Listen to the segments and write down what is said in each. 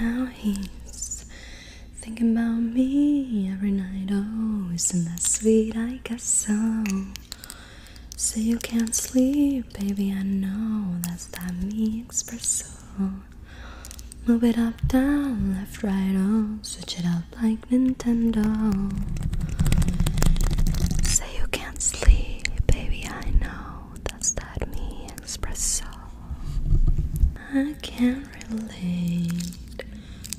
Now he's thinking about me every night. Oh, isn't that sweet? I got so. So you can't sleep, baby. I know that's that me espresso. Oh, move it up, down, left, right. Oh, switch it up like Nintendo. Say you can't sleep, baby, I know. That's that me espresso. I can't relate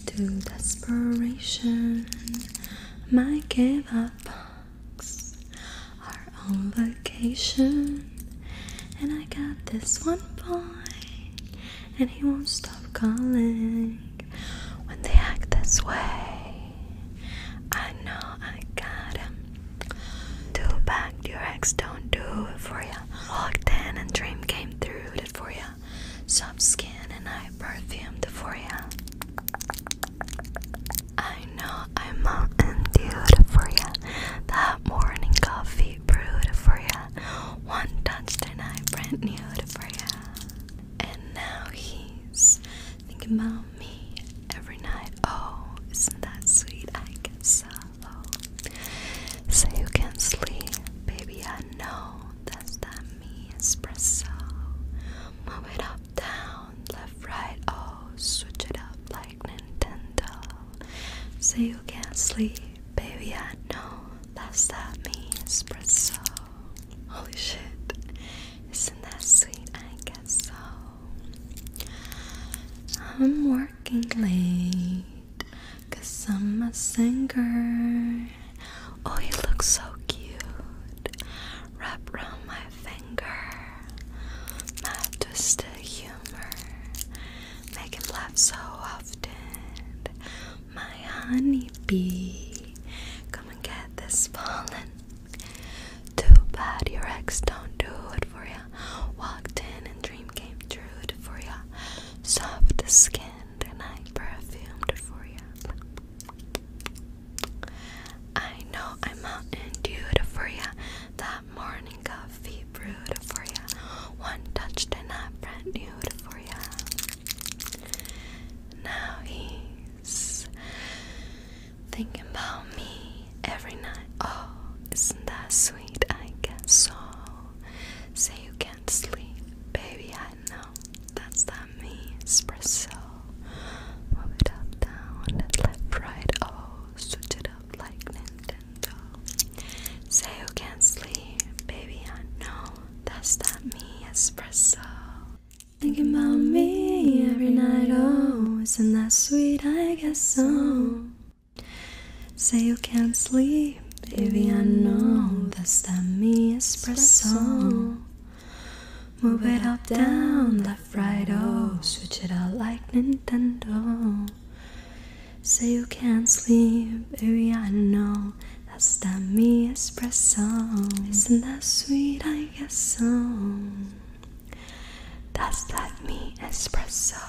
to desperation. My give up box are on vacation. And I got this one boy and he won't stop calling. When they act this way, I know I got him. Too bad your ex don't do it for ya. Locked in and dream came through it for ya. Soft skin and I perfumed for ya. I know I'm mountain dude for ya. That morning coffee brewed for ya. One touch and I brand new to ya. And now he's thinking about me every night. Oh, isn't that sweet? I get so So you can sleep, baby. I know that's that me espresso. Move it up, down, left, right. Oh, switch it up like Nintendo. So you can't sleep, baby. I know that's that me espresso. Holy shit, isn't that sweet? I guess so. I'm working late, cause I'm a singer. Oh, you look so cute. Wrap around my finger. Not just humor. Make him laugh so often. My honeybee. Come and get this fallen. Too bad your ex don't do it for ya. Walked in and dream came true for ya. Soft skinned and I perfumed for ya. I know I'm Mountain Dew to for ya. That morning coffee brewed for ya. One touched and I brand new for ya. Now he's thinking about me every night. Oh, isn't that sweet? I get so. Say you can't sleep, baby. I that's not me espresso. Move it up, down, left, right. Oh, switch it up like Nintendo. Say you can't sleep, baby. I know that's that me espresso. Thinking me every night, oh, isn't that sweet? I guess so. Say you can't sleep, Baby, I know that's that me espresso. Move it up, down, left, right, oh. Switch it out like Nintendo. Say you can't sleep, baby, I know. That's that me espresso. Isn't that sweet? I guess so. That's that me espresso.